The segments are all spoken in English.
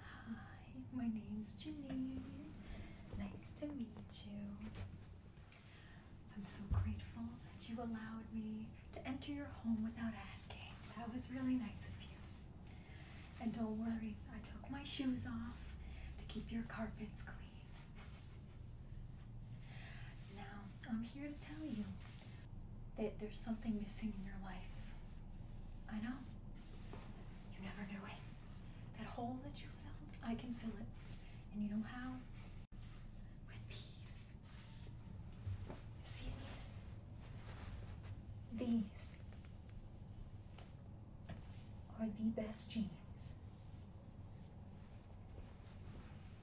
Hi, my is Janine. Nice to meet you. I'm so grateful that you allowed me to enter your home without asking. That was really nice of you. And don't worry, I took my shoes off to keep your carpets clean. Now, I'm here to tell you that there's something missing in your life. I know. You never knew it. That hole that you felt, I can fill it. And you know how? With these. see these? These are the best jeans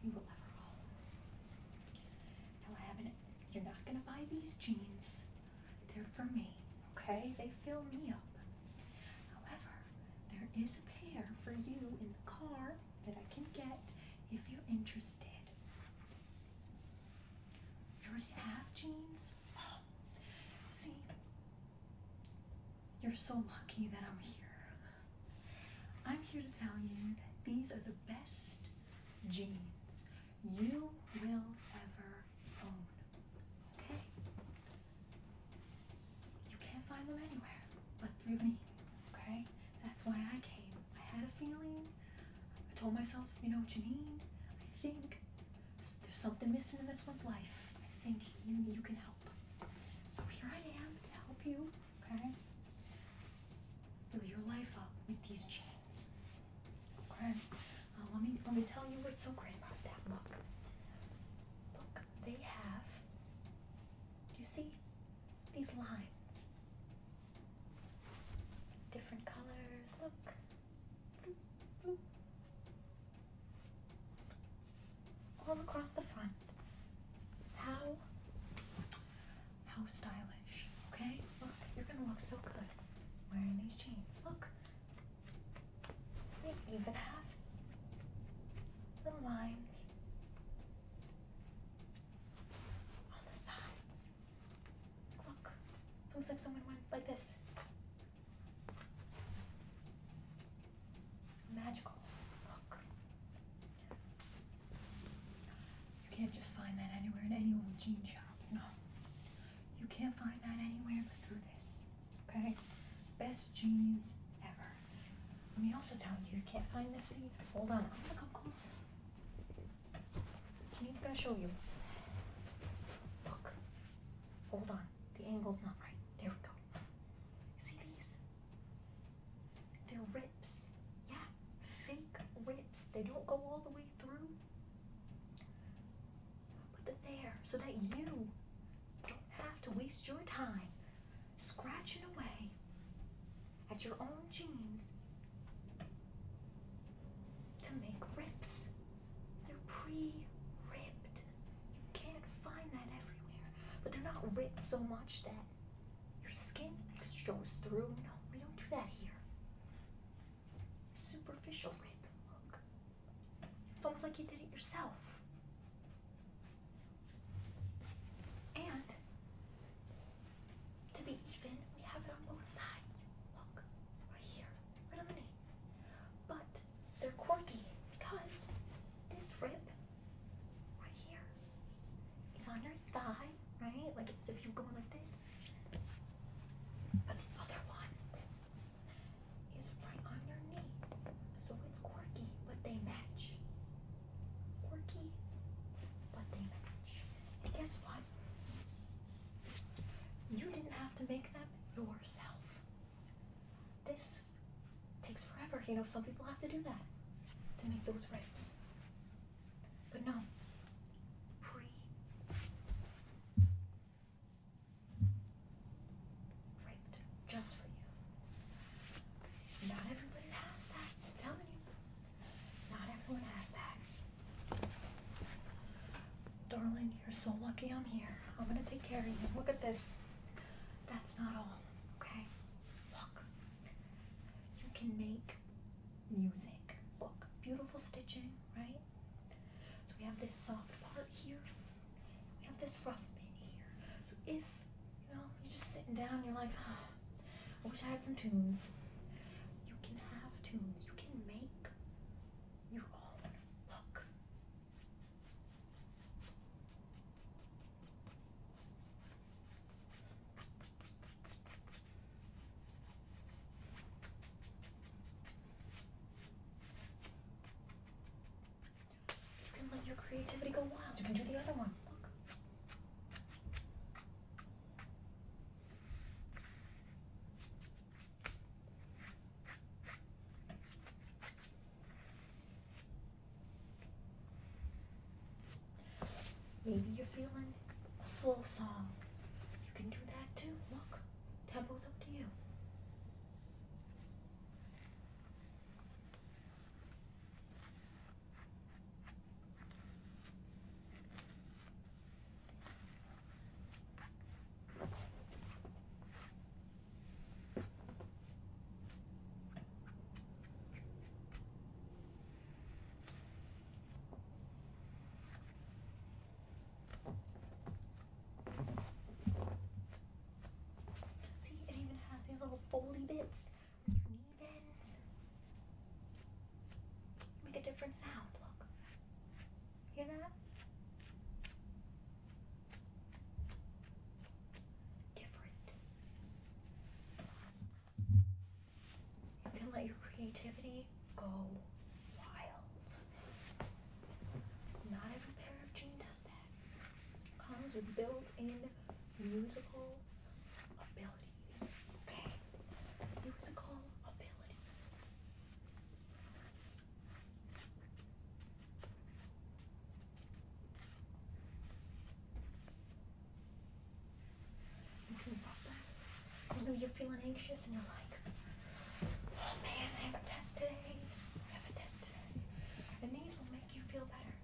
you will ever own. you're not going to buy these jeans. They're for me, okay? They fill me up. However, there is a pair for you in the car that I can get if you're interested. You already have jeans see, you're so lucky that I'm here. I'm here to tell you that these are the best jeans you will ever own. Okay? You can't find them anywhere but through me. Okay? That's why I came. I had a feeling. I told myself, you know what you need. I think there's something missing in this one's life. I think you, you can help. So here I am to help you, okay? Fill your life up with these chains. Okay? Uh, let, me, let me tell you what's so great about that. Look. Look, they have, do you see? These lines. Different colors. Look all across the front. How how stylish. Okay? Look, you're gonna look so good wearing these jeans. Look. They even have little lines on the sides. Look. It looks like someone went like this. Magical hook. You can't just find that anywhere in any old jean shop. you know. You can't find that anywhere but through this. Okay? Best jeans ever. Let me also tell you, you can't find this either. Hold on, I'm gonna come closer. Jean's gonna show you. Look. Hold on. The angle's not right. There we go. see these? They're rips. Yeah, fake rips. They don't go all the way through. But they're there so that you don't have to waste your time scratching away at your own jeans to make rips. They're pre-ripped. You can't find that everywhere. But they're not ripped so much that your skin shows through. No, we don't do that here. Superficial rip. Look. It's almost like you did it yourself. And to be even, we have it on both sides. Look, right here, right on But they're quirky because this rip right here is on your thigh, right? Like if you go like this. But the other one is right on your knee. So it's quirky, but they match. Quirky, but they match. And guess what? You didn't have to make them yourself. This takes forever. You know, some people have to do that to make those rips. But no, pre ripped just for you. Not everybody has that. I'm telling you, not everyone has that. Darling, you're so lucky I'm here. I'm gonna take care of you. Look at this. That's not all, okay? Look. You can make music. Look, beautiful stitching, right? So we have this soft part here. We have this rough bit here. So if, you know, you're just sitting down, you're like, I wish I had some tunes. You can have tunes. You can make your own. Look, you can let your creativity go wild. You can do the other one. Look. Maybe you're feeling a slow song. You can do that too. Look, tempo's up to you. See, it even has these little foldy bits with your knee bends. Make a different sound, look. Hear that? Different. You can let your creativity go wild. Not every pair of jeans does that. Comes with built-in musical abilities. Okay? Musical abilities. Thinking know you're feeling anxious and you're like, oh man, I have a test today. I have a test today. And these will make you feel better.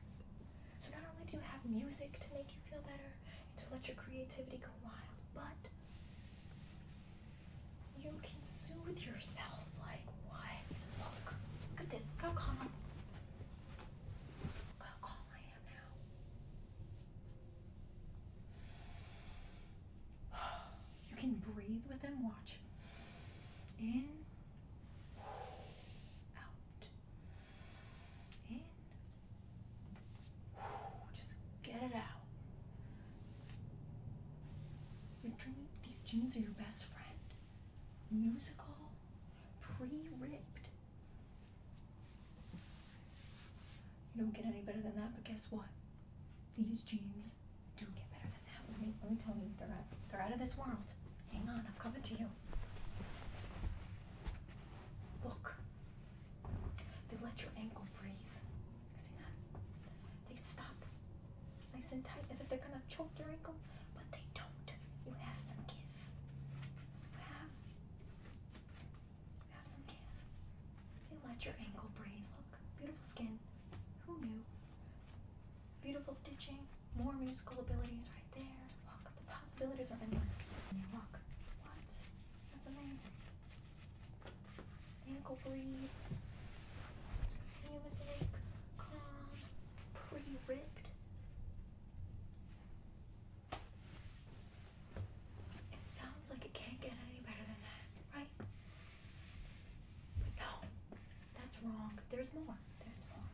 So not only do you have music to make you feel better and to let your creativity go wild, but you can soothe yourself. Like what? Look. Look at this. Go how calm. Look calm I am now. You can breathe with them. Watch. In. Out. In. Just get it out. Your dream, these jeans are your best friend. Musical, pre-ripped. You don't get any better than that, but guess what? These jeans do get better than that. Let me, let me tell you, they're out, they're out of this world. Hang on, I'm coming to you. Look, they let your ankle breathe. See that? They stop nice and tight as if they're gonna choke your ankle, but they don't. You have some give. You have, you have some give. You let your ankle breathe. Look, beautiful skin. Who knew? Beautiful stitching, more musical abilities right there. Look, the possibilities are endless. Look, what? That's amazing ankle bleeds. He calm, pretty ripped. It sounds like it can't get any better than that, right? no, that's wrong. There's more. There's more.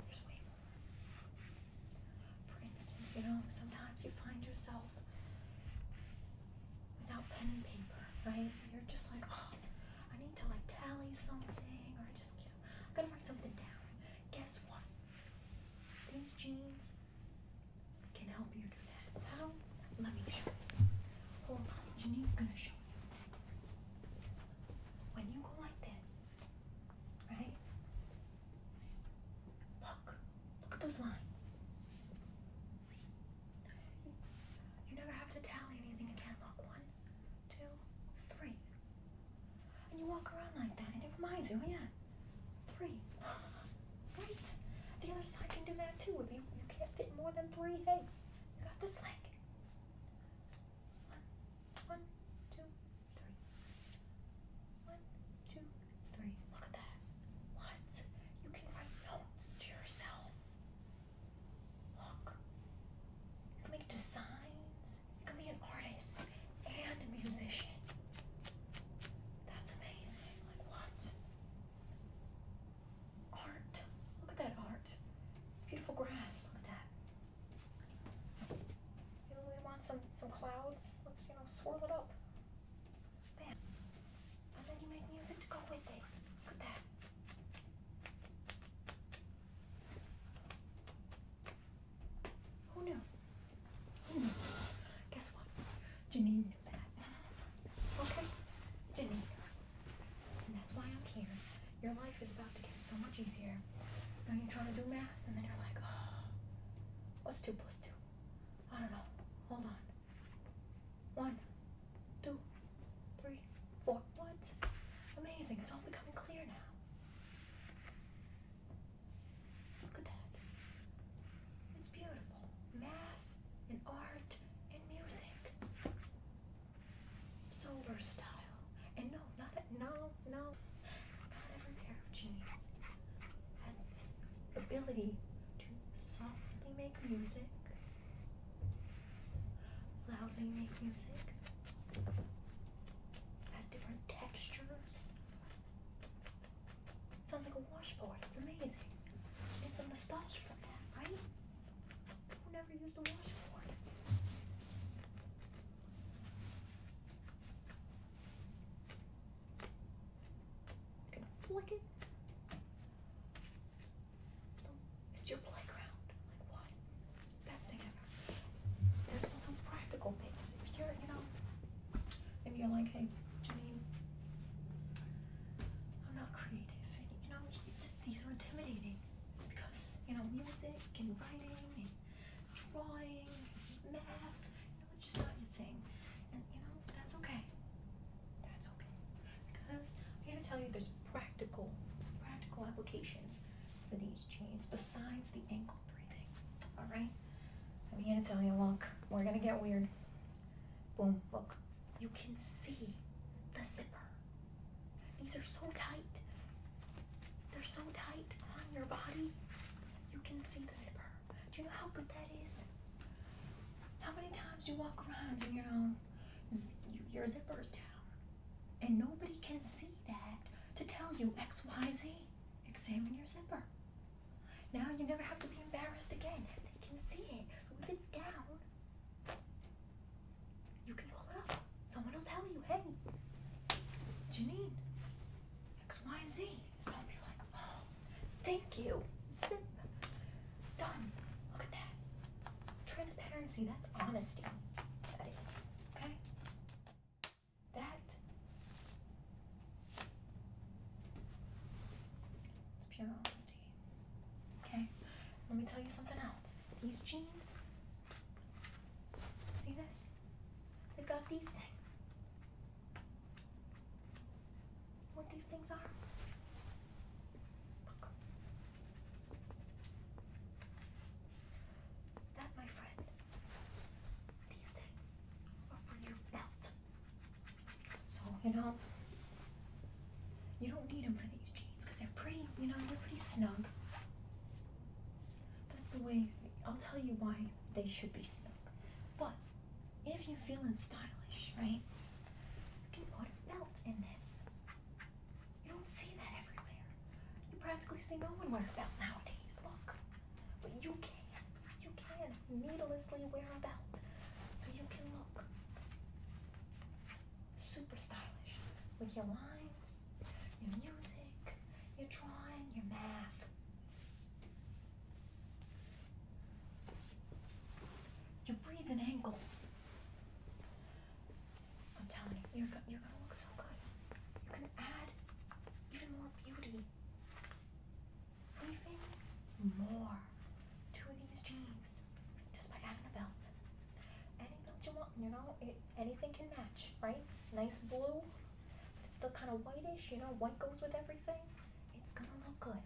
There's way more. For instance, you know, sometimes you find yourself without pen and paper, right? You're just like, oh, I need to like tally something, or just you know, I gotta write something down. Guess what? These jeans can help you do that. How? Let me show you. Hold on, Janine's gonna show you. When you go like this, right? Look, look at those lines. You never have to tally anything again. Look, one, two, three. And you walk around like that, and it reminds you, yeah, three. right? The other side can do that too. If you, you can't fit more than three, hey, you got this leg. One, one, two, three. One, two, three. Look at that. What? You can write notes to yourself. Look. You can make designs. You can be an artist and a musician. That's amazing. Like what? Art. Look at that art. Beautiful grass. Look at that. You know, we want some some clouds. Let's you know swirl it up. Bam. And then you make music to go with it. Look at that. Who knew? Who knew? Guess what? Janine knew that. Okay? Janine And that's why I'm here. Your life is about to get so much easier. Now you're trying to do math, and then you're like, oh, what's 2 plus 2? I don't know. Hold on. One, two, three, four. What? Amazing. It's all becoming clear now. Look at that. It's beautiful. Math and art and music. So versatile. And no, not no, no. Not every pair of jeans has this ability to softly make music, loudly make music, has different textures. It sounds like a washboard. It's amazing. It's a nostalgia from that, right? Who never used a washboard? You can flick it. It's your playground. Like what? Best thing ever. There's also practical bits. If you're, you know, if you're like, hey, Janine, I'm not creative. And, you know, these are intimidating because, you know, music and writing and drawing, and math, know, it's just not your thing. And you know, that's okay. That's okay. Because I'm here to tell you there's practical, practical applications for these jeans besides the ankle breathing. Alright? I'm here to tell you, look, we're gonna get weird. Boom, look. You can see the zipper. These are so tight. They're so tight on your body. You can see the zipper. Do you know how good that is? How many times you walk around and you know your zipper's down, and nobody can see that to tell you X Y Z. Examine your zipper. Now you never have to be embarrassed again. They can see it. So if it's down, you can pull it up. Someone will tell you, hey, Janine, X Y Z. And I'll be like, oh. Thank you. Done. Look at that. Transparency, that's honesty. That is. Okay? That. It's pure honesty. Okay? Let me tell you something else. These jeans. See this? They've got these things what these things are. Look. That, my friend, these things are for your belt. So, you know, you don't need them for these jeans because they're pretty, you know, they're pretty snug. That's the way, I'll tell you why they should be snug. But if you're feeling stylish, right? You can put a belt in this. You don't see that everywhere. You practically see no one wear a belt nowadays. Look. But you can. You can needlessly wear a belt. So you can look super stylish with your lines, your music, your drawing, your math, you're breathing angles. I'm telling you, you're, you're gonna look so good. You're gonna add even more beauty. breathing more to these jeans just by adding a belt. Any belt you want, you know, anything can match, right? Nice blue, it's still kind of whitish, you know, white goes with everything. It's gonna look good.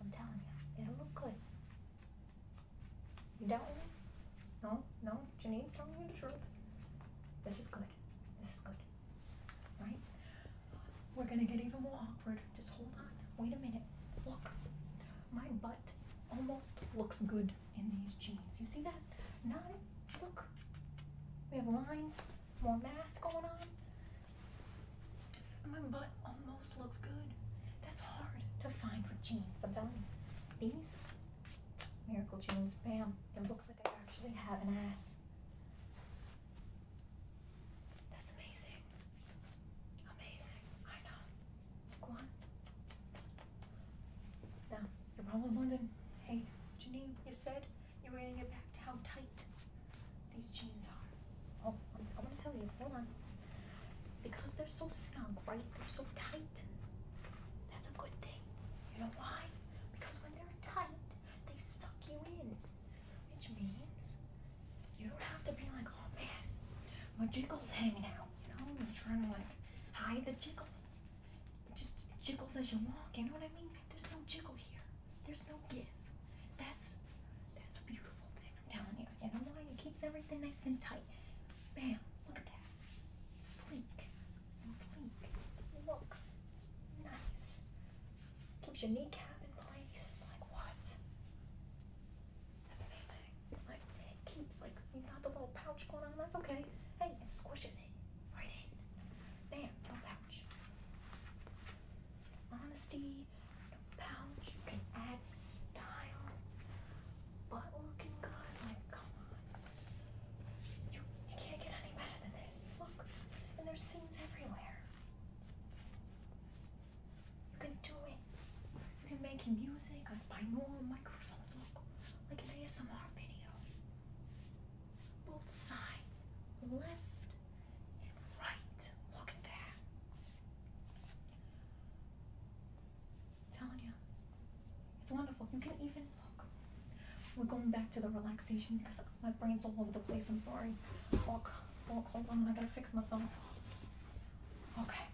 I'm telling you, it'll look good. You doubt me? No, no. Janine's telling you the truth. This is good. This is good. Right? We're gonna get even more awkward. Just hold on. Wait a minute. Look, my butt almost looks good in these jeans. You see that? Not look. We have lines, more math going on my butt almost looks good. That's hard to find with jeans, I'm telling you. These miracle jeans, bam, it looks like I actually have an ass. That's amazing. Amazing, I know. Go on. Now, you're probably wondering, hey, Janine, you said you are gonna get back to how tight these jeans are. Oh, I'm, gonna tell you, hold on. Because they're so snug, right? They're so tight. That's a good thing. You know why? Because when they're tight, they suck you in. Which means you don't have to be like, oh man, my jiggle's hanging out. You know, you're trying to like hide the jiggles. It just jiggles as you walk, you know what I mean? There's no jiggle here. There's no give. That's that's a beautiful thing. I'm telling you. You know why? It keeps everything nice and tight. Bam! Look at that. Sleek. Sleek. Looks nice. Keeps your kneecap in place. Like what? That's amazing. Like it keeps like you got the little pouch going on. That's okay. Hey, it squishes it right in. Bam! No pouch honesty, no pouch, you can add style, but looking good, like come on. You, you can't get any better than this. Look, and there's seams everywhere. You can do it. You can make music like binaural microphones, look, like an ASMR video. Both sides, left right. Look at that. telling you, it's wonderful. You can even look. We're going back to the relaxation because my brain's all over the place. I'm sorry. Walk, walk, hold on. I gotta fix myself. Okay.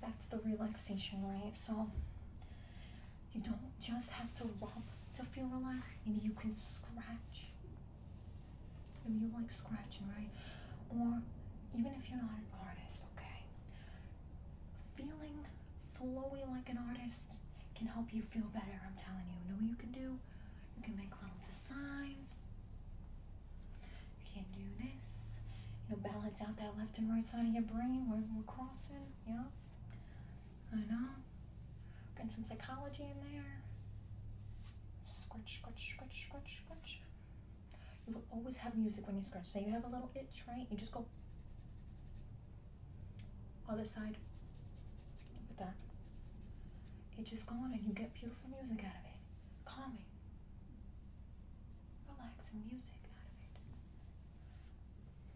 Back to the relaxation, right? So you don't just have to rub to feel relaxed. Maybe you can scratch. Maybe you like scratching, right? Or even if you're not an artist, okay? Feeling flowy like an artist can help you feel better, I'm telling you. Know what you can do? You can make little designs. You can do this. You know, balance out that left and right side of your brain where we're crossing, yeah? I know. Getting some psychology in there. Scratch, scratch, scratch, scratch, scratch. You will always have music when you scratch. so you have a little itch, right? You just go other side Look at that. It just gone and you get beautiful music out of it. Calming. Relaxing music out of it.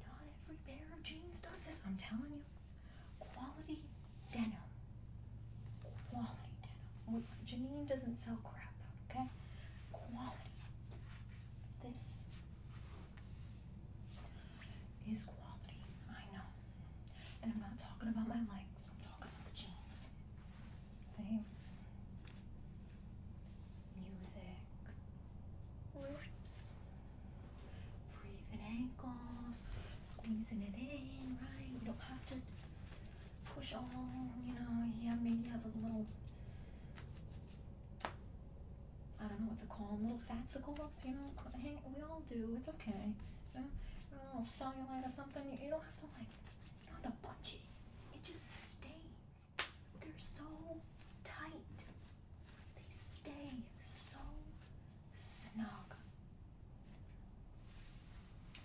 Not every pair of jeans does this, I'm telling you. Quality denim. Quality denim. Janine doesn't sell crap, okay? Quality. This is quality. I know. And I'm not talking about my legs, I'm talking about the jeans. Same. Music. Rips. Breathe in ankles, squeezing it in, right? you don't have to push on. you know, yeah, maybe you have a little, I don't know what to call them, little fatsicles, you know, hang, we all do, it's okay. You know, a little cellulite or something, you, don't have to like, you don't have to It just stays. They're so tight. They stay so snug.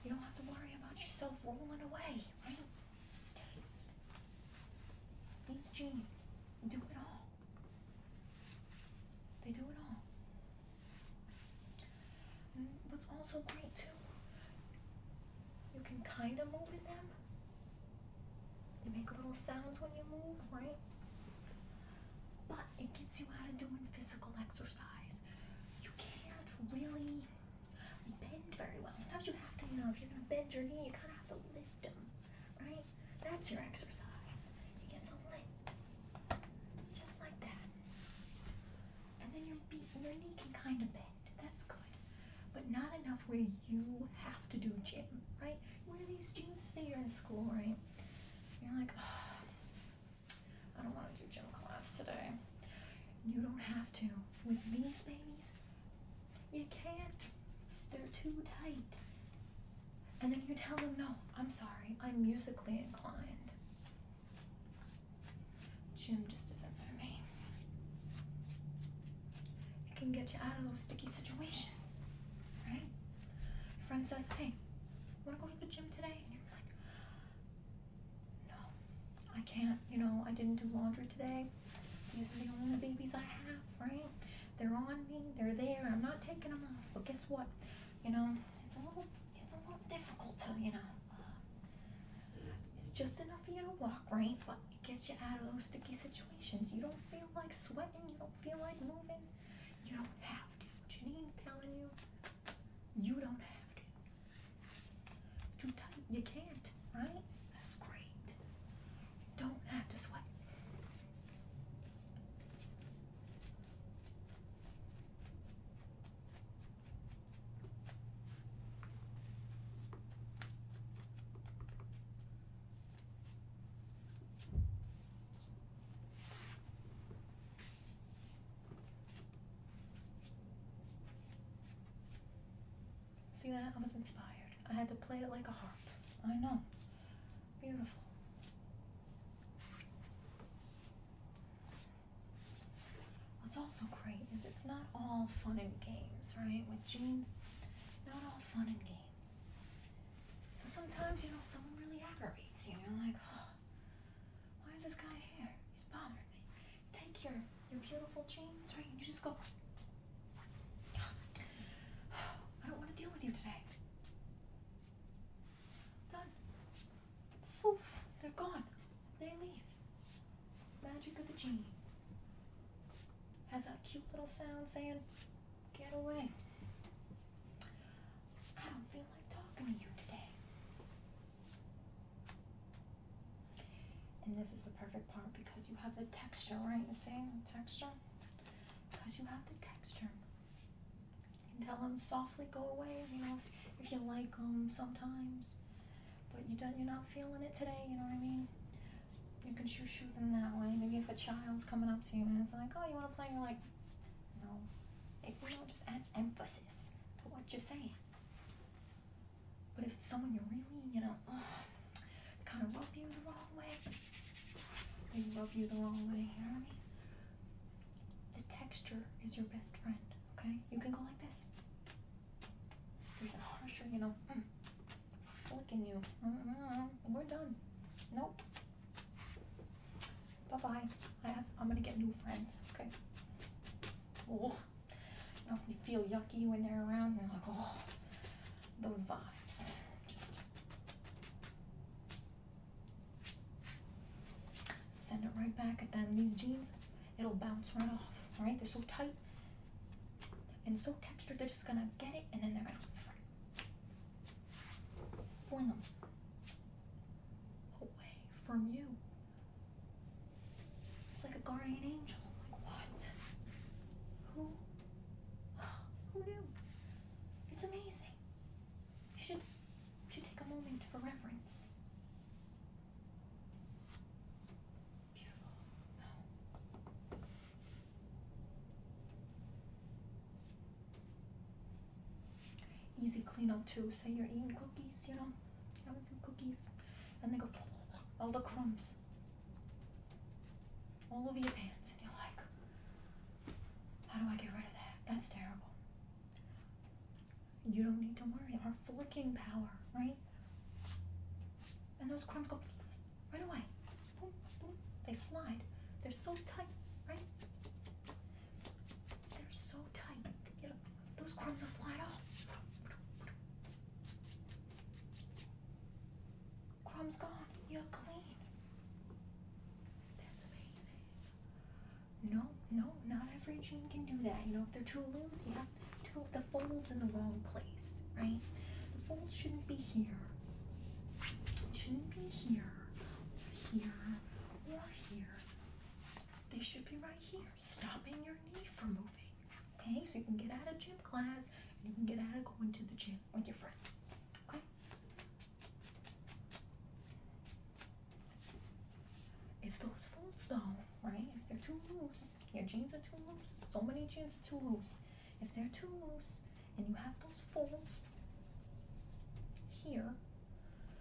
You don't have to worry about yourself rolling away, right? These jeans do it all. They do it all. And what's also great too, you can kind of move in them. They make little sounds when you move, right? but it gets you out of doing physical exercise. You can't really bend very well. Sometimes you have to, you know, if you're going to bend your knee, you kind of have to lift them, right? That's your exercise. You get to lift, just like that. And then your, knee can kind of bend. That's good. But not enough where you have to do gym, right? Where these jeans say you're in school, right? You're like, oh, I don't want to do gym class today. You don't have to. With these babies, you can't. They're too tight. And then you tell them, no, I'm sorry, I'm musically inclined. Gym just isn't for me. It can get you out of those sticky situations, right? Your friend says, Hey, wanna go to the gym today? And you're like, No, I can't, you know, I didn't do laundry today. These are the only babies I have, right? They're on me, they're there, I'm not taking them off. But guess what? You know, it's all it's a little difficult to, you know. Uh, it's just enough for you to walk, right? But it gets you out of those sticky situations. You don't feel like sweating, you don't feel like moving. You don't have to. Janine telling you, you don't have to. It's too tight. You can't, right? That's great. You don't have to sweat. See that? I was inspired. I had to play it like a harp. I know. Beautiful. What's also great is it's not all fun and games, right? With jeans, not all fun and games. So sometimes, you know, someone really aggravates you, and you're like, oh, why is this guy here? He's bothering me. Take your your beautiful jeans, right? you just go. I don't want to deal with you today. Done. Oof, they're gone. They leave. Magic of the jeans. Has that cute little sound saying, get away. I don't feel like talking to you today. And this is the perfect part because you have the texture, right? You see the texture? Because you have the texture. You can tell them softly go away, you know, if, if you like them sometimes. But you don't, you're not feeling it today, you know what I mean? You can shoot shoot them that way. Maybe if a child's coming up to you and it's like, oh, you want to play? And you like, no. It really just adds emphasis to what you're saying. But if it's someone you really, you know, kind of love you the wrong way, they love you the wrong way, you know what I mean? The texture is your best friend, okay? You can go like this. There's a harsher, you know, mm, flicking you. We're done. Nope. Bye bye. I have. I'm gonna get new friends. Okay. Oh, I know, you feel yucky when they're around. You're like, oh, those vibes. Just send it right back at them. These jeans, it'll bounce right off. Right? They're so tight and so textured. They're just gonna get it, and then they're gonna fling them away from you. It's like a guardian angel. like, what? Who? Who knew? It's amazing. You should, you should take a moment for reference. Beautiful. Easy clean up too. Say you're eating cookies, you know, having some cookies, and they go all the crumbs all over your pants, and you're like, how do I get rid of that? That's terrible. You don't need to worry. Our flicking power, right? And those crumbs go right away. Boom, boom. They slide. They're so tight, right? They're so tight. those crumbs will slide off. Crumbs gone. You're clean. That's amazing. No, no, not every gene can do that. You know, if they're too loose, you have to have the folds in the wrong place, right? The folds shouldn't be here. It shouldn't be here, here, here. They should be right here, stopping your knee from moving. Okay, so you can get out of gym class and you can get out of going to the gym with your friend. Okay. If those folds though, right? If they're too loose, your jeans are too loose. So many jeans are too loose. If they're too loose and you have those folds here,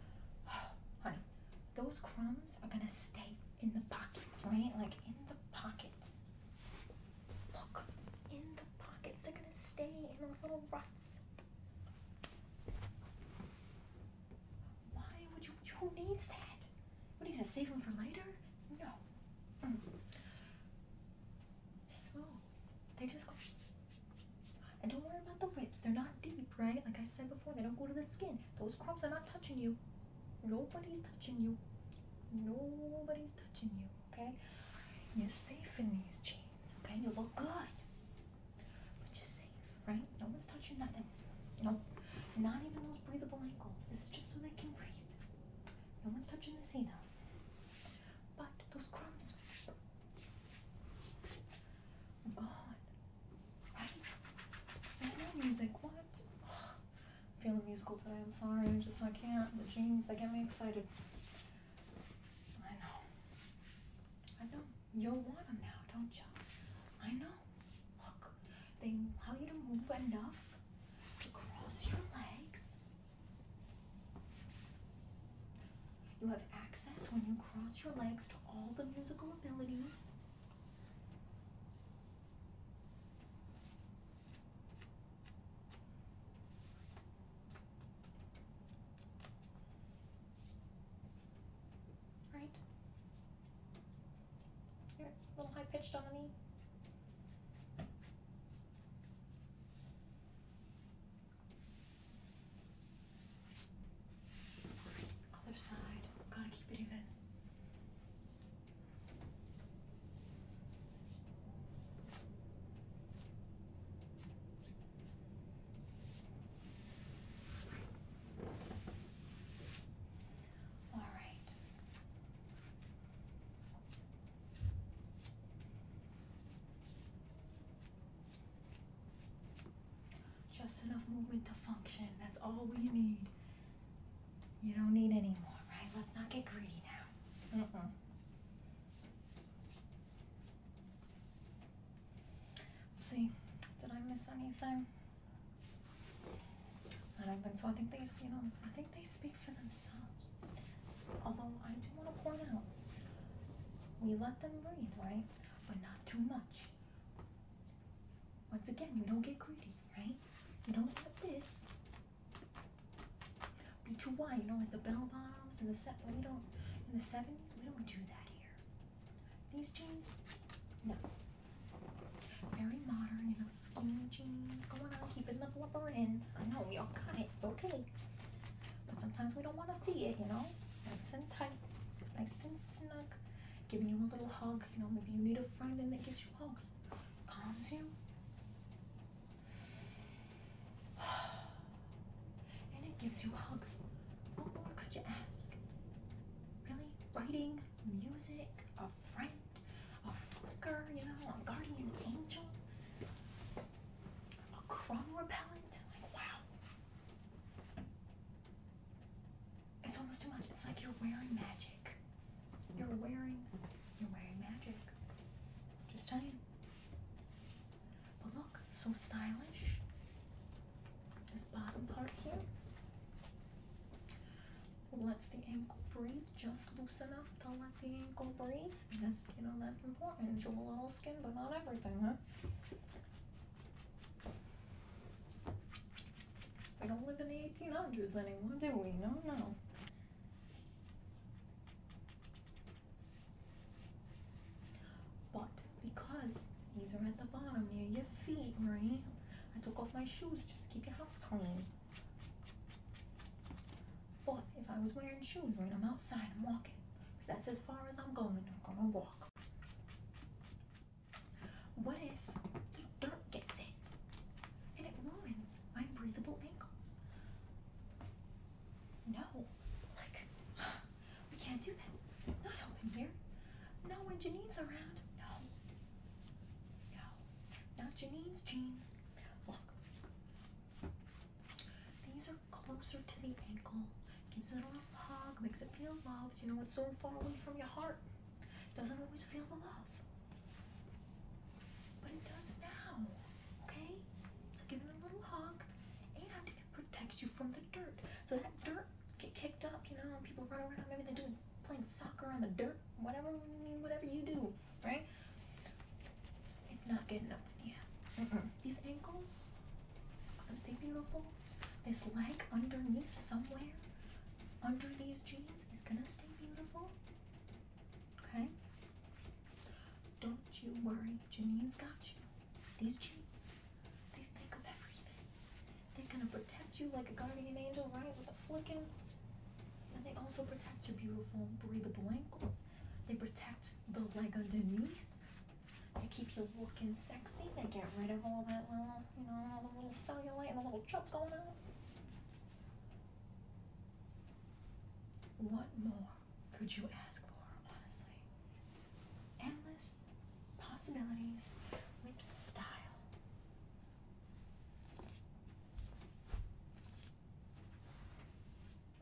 Honey, those crumbs are gonna stay in the pockets, right? Like in the pockets. Look, in the pockets. They're gonna stay in those little ruts. Why would you? Who needs that? What are you gonna save them for later? No. Mm. Smooth. They just go. And don't worry about the lips. They're not deep, right? Like I said before, they don't go to the skin. Those crumbs are not touching you. Nobody's touching you. Nobody's touching you, okay? You're safe in these jeans, okay? You look good. But you're safe, right? No one's touching nothing. No, not even those breathable ankles. This is just so they can breathe. No one's touching this either. But those crumbs, I'm oh, gone. Right? I smell music. What? feeling musical today. I'm sorry. I just I can't. The jeans, they get me excited. I know. I know. You want them now, don't you? I know. Look, they allow you to move enough to cross your legs you have access when you cross your legs to all the musical abilities. Right? You're a little high pitched on me. Other side. Gotta keep it even. All right. Just enough movement to function. That's all we need. You don't need any more, right? Let's not get greedy now. Mm-mm. see. Did I miss anything? I don't think so. I think they, you know, I think they speak for themselves. Although I do want to point out, we let them breathe, right? but not too much. Once again, we don't get greedy, right? You don't let this be too wide. You know, like the bell bottoms and the set. We don't in the seventies. We don't do that here. These jeans, no. Very modern, you know, skinny jeans. Going on, keeping the blubber in. I know we all got it. okay. But sometimes we don't want to see it, you know? Nice and tight, nice and snug, giving you a little hug. You know, maybe you need a friend and that gives you hugs, calms you. And it gives you hugs. What more could you ask? Really? Writing, music, a friend, a flicker, you know, a guardian angel, a crumb repellent. wow. It's almost too much. It's like you're wearing magic. You're wearing, you're wearing magic. Just saying. But look, so stylish. This bottom part here lets the ankle breathe just loose enough to let the ankle breathe because you know that's important. Show a little skin, but not everything, huh? We don't live in the 1800s anymore, do we? No, no. But because these are at the bottom near your feet, right? I took off my shoes just to keep your house clean. But if I was wearing shoes, right, I'm outside, I'm walking. that's as far as I'm going. I'm going to walk. What if the dirt gets in and it ruins my breathable ankles? No, like, we can't do that. Not up in here. No, when Janine's around. No. No. Not Janine's jeans. Look, these closer to the ankle, gives it a little hug, makes it feel loved. You know, it's so far away from your heart. Doesn't always feel loved, But it does now. Okay? it's give it a little hug and it protects you from the dirt. So that dirt get kicked up, you know, and people run around, maybe they're doing playing soccer on the dirt, whatever whatever you do, right? It's not getting up yeah. These ankles, aren't beautiful? This leg underneath somewhere, under these jeans, is gonna stay beautiful. Okay? Don't you worry, Janine's got you. These jeans, they think of everything. They're gonna protect you like a guardian angel, right? With a flicking. And they also protect your beautiful breathable ankles. They protect the leg underneath. They keep you looking sexy. They get rid of all that little, you know, all the little cellulite and the little chub going on. What more could you ask for, honestly? Endless possibilities with style.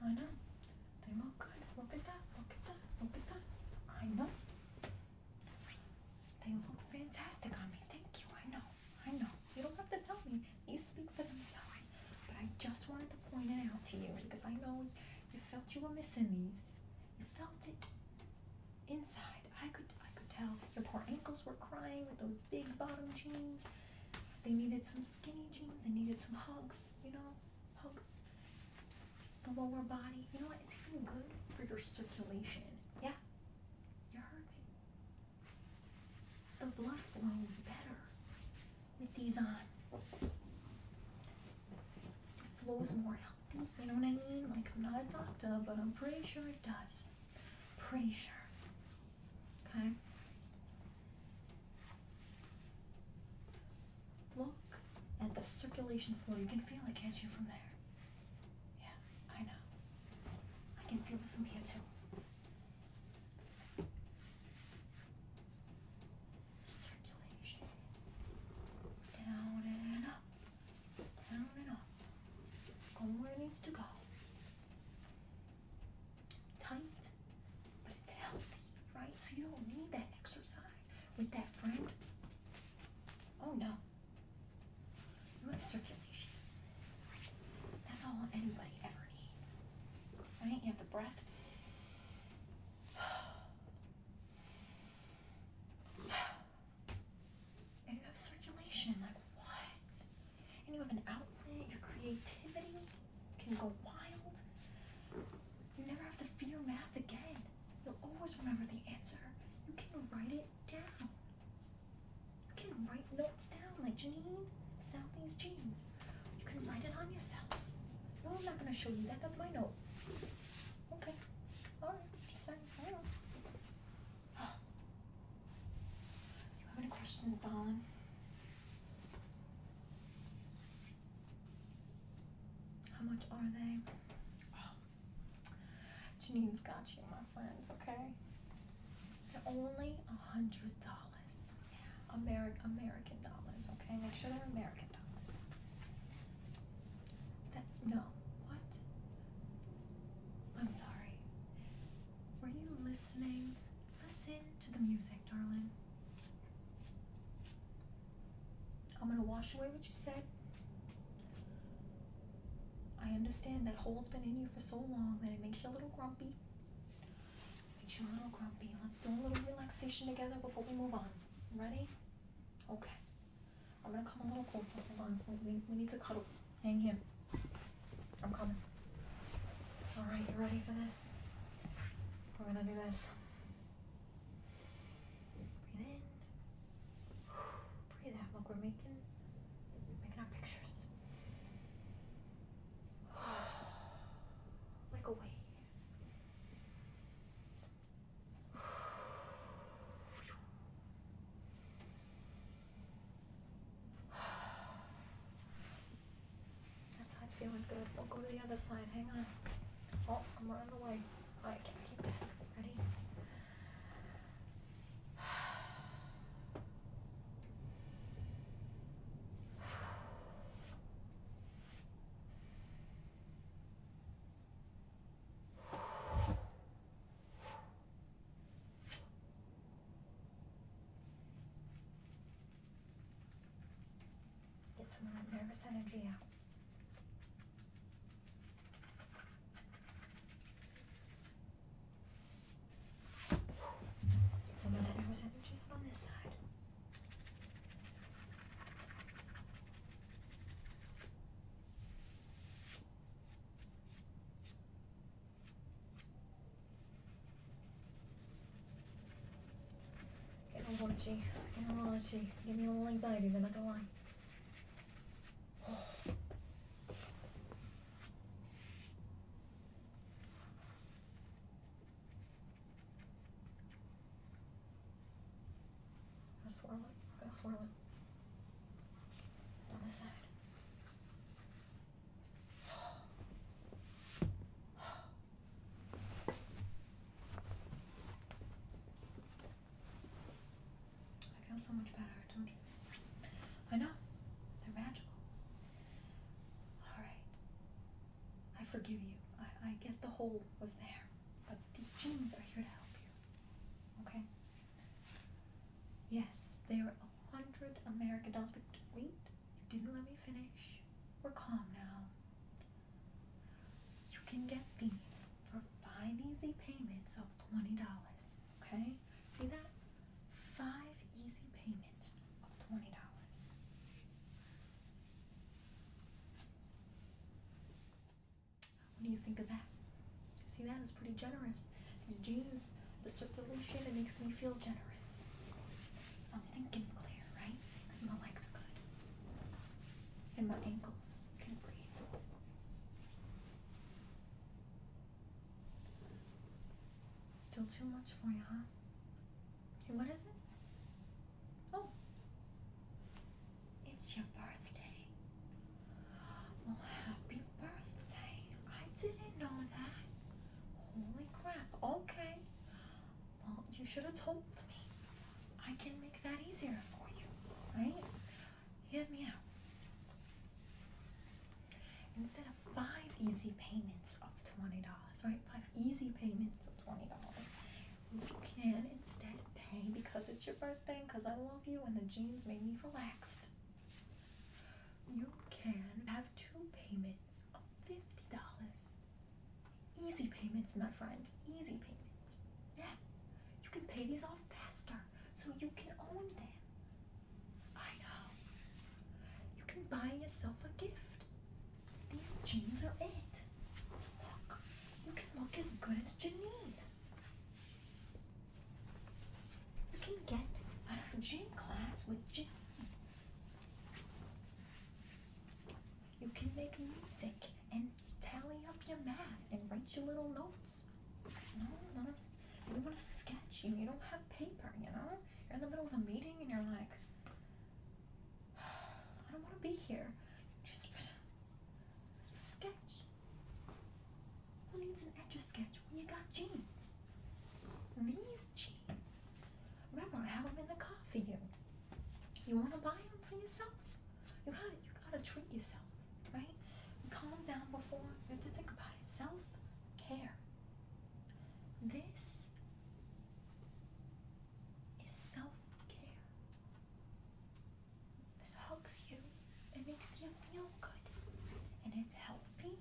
I know. They look good. Look at that. Look at that. Look at that. I know. They look fantastic on me. Thank you. I know. I know. You don't have to tell me. These speak for themselves. But I just wanted to point it out to you because I know you felt you were missing these. You felt it inside. I could I could tell your poor ankles were crying with those big bottom jeans. They needed some skinny jeans. They needed some hugs, you know? Hug the lower body. You know what? It's even good for your circulation. Yeah, you heard me. The blood flows better with these on. Um, it flows more healthy. You know what I mean? Like I'm not a doctor, but I'm pretty sure it does. Pretty sure. Okay. Look at the circulation flow. You can feel it, can't you, from there? Yeah, I know. I can feel it from here, too. Circulation. Down and up. Down and up. Going where it needs to go. Tight, but it's healthy, right? So you don't need that exercise. With that friend? Oh no. You have circulation. That's all anybody ever needs. Right? You have the breath. And you have circulation. Like what? And you have an outlet. Your creativity can go wild. You never have to fear math again. You'll always remember the answer. You can write it down. You can write notes down, like Janine, Southeast Jeans. You can write it on yourself. No, I'm not going to show you that. That's my note. Okay. All right. Just saying. Do you have any questions, darling? How much are they? Oh. Janine's got you, my friends, okay? They're only a hundred dollars. American American dollars, okay? Make sure they're American dollars. That no. What? I'm sorry. Were you listening? Listen to the music, darling. I'm going to wash away what you said. I understand that hole's been in you for so long that it makes you a little grumpy. makes you a little grumpy. Let's do a little relaxation together before we move on. Ready? Okay. I'm gonna come a little closer. Hold on. We, we need to cuddle. Hang him. I'm coming. Alright, you ready for this? We're gonna do this. Breathe in. Breathe out. Look, we're making making our pictures. like a wave. That side's feeling good. We'll go to the other side. Hang on. Oh, I'm running away. Okay. All right, keep, keep Ready? Get some of that nervous energy out. Get some of that nervous energy out on this side. Getting all raunchy. Getting all raunchy. Give me a little anxiety, Then i not gonna lie. Go swirl it. Go swirl it. On the side. I feel so much better, don't you? I know. They're magical. Alright. I forgive you. I, I get the whole was there. But these jeans are here to help you. Okay? Yes, they're a hundred American dollars. But wait, you didn't let me finish. We're calm now. You can get these for five easy payments of $20. Okay? See that? Five easy payments of $20. What do you think of that? See, that is pretty generous. These jeans, the circulation, it makes me feel generous. So I'm thinking clear, right? my legs are good and my ankles can breathe. Still too much for you, huh? Hey, what is it? Oh, it's your birthday. Well, happy birthday. I didn't know that. Holy crap. Okay. Well, you should have told me. I can make that easier for you, right? Hear me out. Instead of five easy payments of $20, right? Five easy payments of $20. You can instead pay because it's your birthday, because I love you, and the jeans made me relaxed. You can have two payments of $50. Easy payments, my friend. Easy payments. Yeah. You can pay these off faster so you can own them. I know. You can buy yourself a gift. These jeans are it. Look, you can look as good as Janine. You can get out of gym class with Janine. You can make music and tally up your math and write your little notes. No, no, You want to sketch. You, you don't have paper, you know? You're in the middle of a meeting and you're like, I don't want to be here. Just sketch. Who needs an etch sketch when you got jeans? These jeans. Remember, I have them in the car for you. You want to buy them for yourself? You gotta you gotta treat yourself, right? You calm down before you have to think about it. Self-care. This is self-care. That hugs you. It makes you feel good. And it's healthy.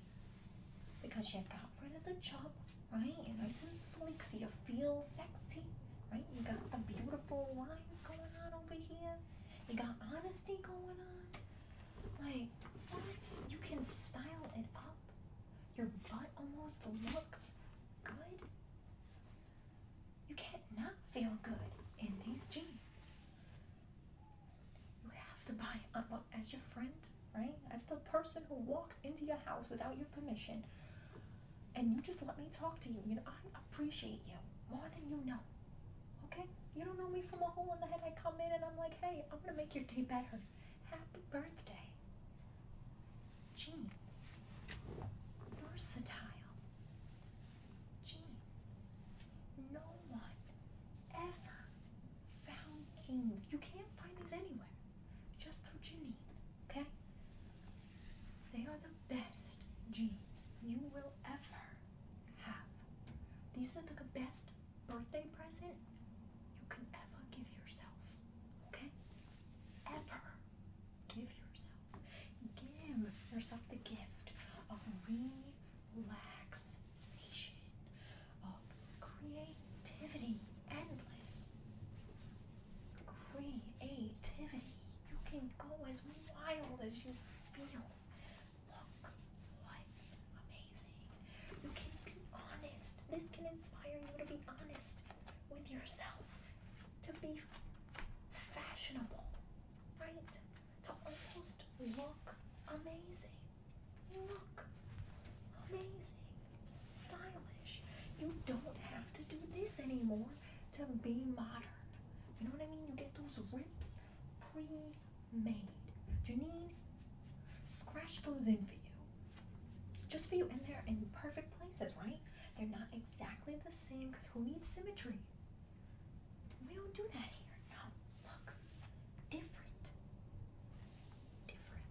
Because you got rid of the job, right? You're nice and sleek, so you feel sexy right? You got the beautiful lines going on over here. You got honesty going on. Like, what? You can style it up. Your butt almost looks good. You can't not feel good in these jeans. You have to buy a uh, look as your friend, right? As the person who walked into your house without your permission and you just let me talk to you. You know, I appreciate you more than you know. Okay? You don't know me from a hole in the head. I come in and I'm like, hey, I'm gonna make your day better. Happy birthday. Jeans. Versatile. Jeans. No one ever found jeans. You can't find these anywhere. Just to Janine. Okay? They are the best jeans you will ever have. These are the best birthday present you can ever give yourself. Okay? Ever give yourself. Give yourself the gift of relaxation, of creativity, endless. Creativity. You can go as wild as you feel. Look what's amazing. You can be honest. This can inspire you to be honest with yourself, to be fashionable, right? To almost look amazing. Look amazing. Stylish. You don't have to do this anymore to be modern. You know what I mean? You get those rips pre-made. Janine, scratch those in for you. Just for you, in there in perfect places, right? They're not exactly the same because who needs symmetry? We don't do that here. No, look, different. Different.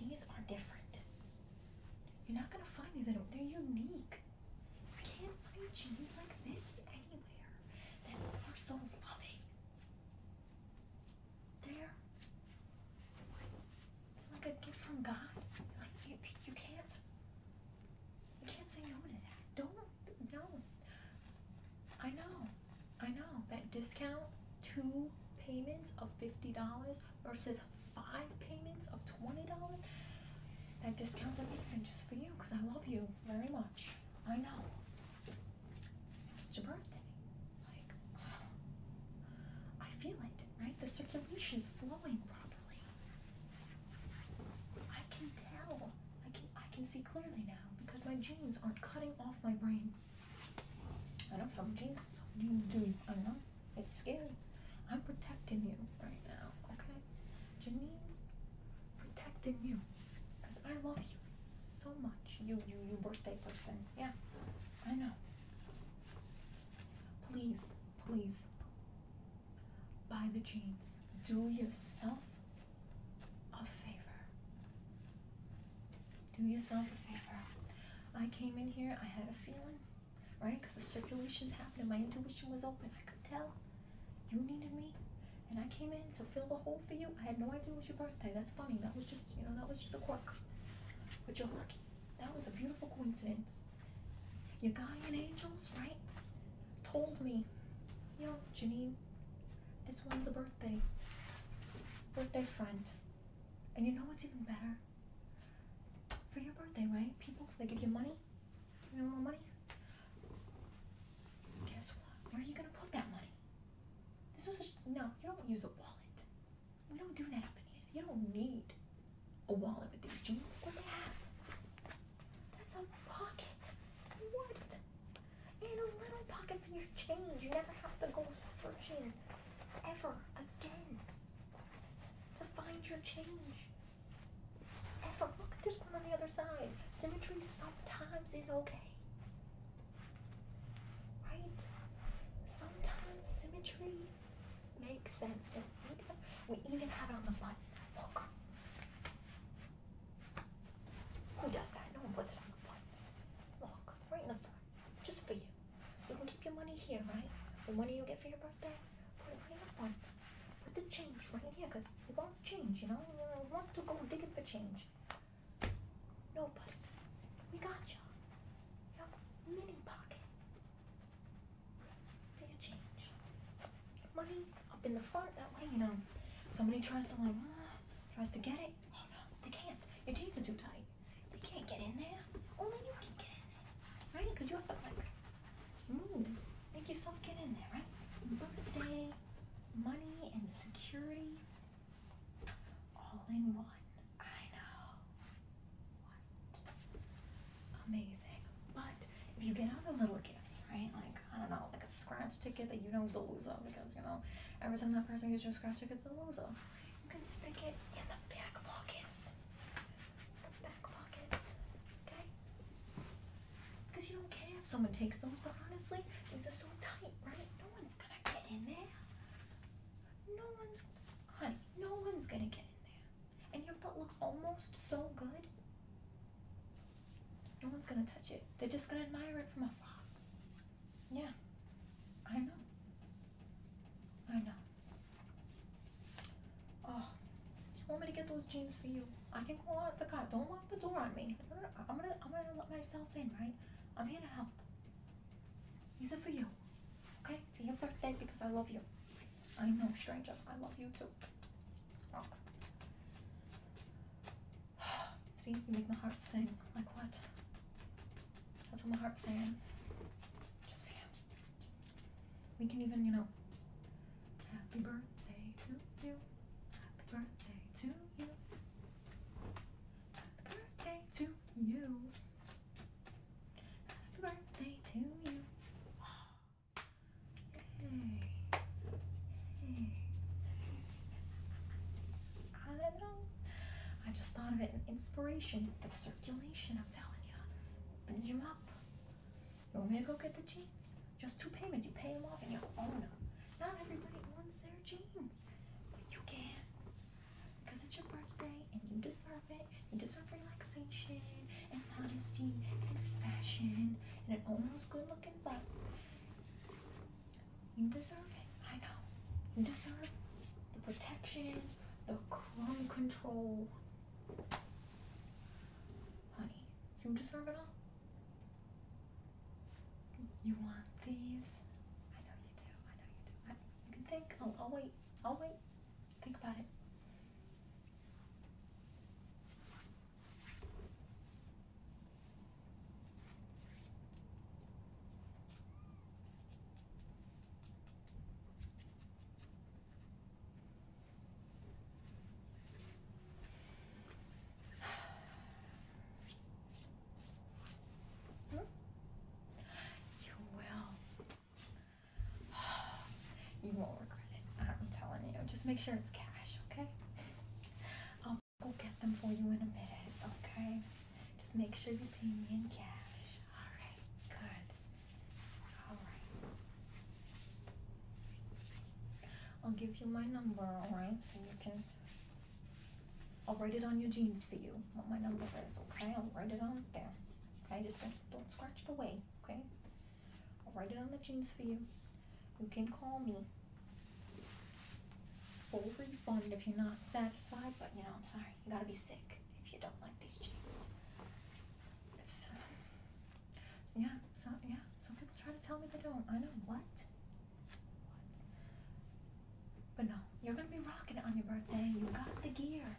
These are different. You're not gonna find these. They're unique. I can't find jeans like this anywhere that are so loving. They're like a gift from God. Like you, you can't, you can't say no to that. Don't, no. I know, I know that discount two payments of fifty dollars versus five payments of $20. That discount's amazing just for you because I love you very much. I know. It's your birthday. Like, I feel it, right? The circulation's flowing properly. I can tell. I can I can see clearly now because my jeans aren't cutting off my brain. I know some genes some genes I don't know it's scary. I'm protecting you right now, okay? Janine's protecting you. Because I love you so much. You, you, you birthday person. Yeah, I know. Please, please, buy the jeans. Do yourself a favor. Do yourself a favor. I came in here, I had a feeling right? Because the circulation's happening. My intuition was open. I could tell you needed me, and I came in to fill the hole for you. I had no idea it was your birthday. That's funny. That was just, you know, that was just a quirk. But you're lucky. That was a beautiful coincidence. Your guardian angels, right, told me, yo, Janine, this one's a birthday, birthday friend. And you know what's even better? for your birthday, right? People, they give you money? You know, money? Guess what? Where are you going to put that money? This was just, no, you don't use a wallet. We don't do that up in here. You don't need a wallet with these jeans. Look what they have. That's a pocket. What? And a little pocket for your change. You never have to go searching ever again to find your change. Ever look at this one on the other side. Symmetry sometimes is okay. Right? Sometimes symmetry makes sense. we even have it on the button. Look. Who does that? No one puts it on the button. Look, right in the Just for you. You can keep your money here, right? The money you get for your birthday, put a uniform, put the change right here because he wants change, you know? He wants to go digging for change. Nobody, we got you. You mini pocket for your change. Money up in the front, that way, you know, somebody tries to, like, uh, tries to get it. Oh, no, they can't. Your jeans are too tight. They can't get in there. Only you can get in there, Because you have the like, Make yourself get in there, right? Birthday, money and security, all in one. I know. What? Amazing. But if you get other little gifts, right? Like, I don't know, like a scratch ticket that you know is a loser because, you know, every time that person gets your scratch ticket, it's a loser. You can stick it in the back pockets back pockets, okay? Because you don't care if someone takes those, but honestly, these are so tight, right? No one's gonna get in there. No one's, honey, no one's gonna get in there. And your butt looks almost so good. No one's gonna touch it. They're just gonna admire it from afar. Yeah, I know. I know. Oh, you want me to get those jeans for you? I can go out the car. Don't lock the door on me. I'm gonna, I'm gonna let myself in, right? I'm here to help. Use it for you, okay? For your birthday because I love you. I know, stranger. I love you too. Look. See, you make my heart sing. Like what? That's what my heart's saying. Just for you. We can even, you know, happy birthday to you. Happy birthday to you. Happy birthday to you. Happy birthday to you. Yay. Yay. I don't know. I just thought of it in inspiration the circulation, I'm telling you. Opens you up. You want me to go get the jeans? Just two payments. You pay them off and you own them. Not everybody owns their jeans, but you can. Because it's your birthday and you deserve it. You deserve relaxation and modesty and fashion and an almost good looking butt. You deserve it. I know. You deserve the protection, the chrome control. Honey, you deserve it all. You want these? I know you do. I know you do. I, you can think. i oh, I'll wait. I'll wait. Think about it. You will. You won't regret it. I'm telling you. Just make sure it's cash, okay? I'll go get them for you in a minute, okay? Just make sure you pay me in cash. Alright, good. I'll give you my number, alright? So you can. I'll write it on your jeans for you, what my number is, okay? I'll write it on there. Okay? Just don't, don't scratch it away, okay? I'll write it on the jeans for you. You can call me. Full refund if you're not satisfied, but you know, I'm sorry. You gotta be sick if you don't like these jeans. It's uh, yeah, so yeah. Some people try to tell me they don't. I know what. What? But no, you're gonna be rocking it on your birthday. You got the gear.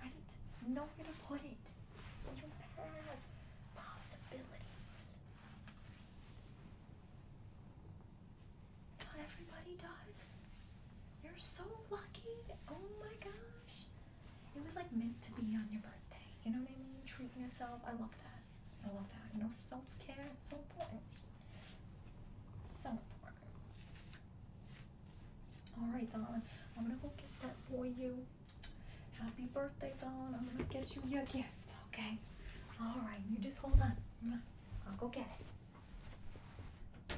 Right? Know where to put it. You have possibilities. Not everybody does. You're so lucky. Oh my gosh. It was like meant to be on your birthday. You know what I mean? Treating yourself. I love that. I love that. You know, self care. It's so important. So important. All right, Don. I'm gonna go get that for you. Happy birthday, Don. I'm gonna get you your gift. Okay. All right. You just hold on. I'll go get it.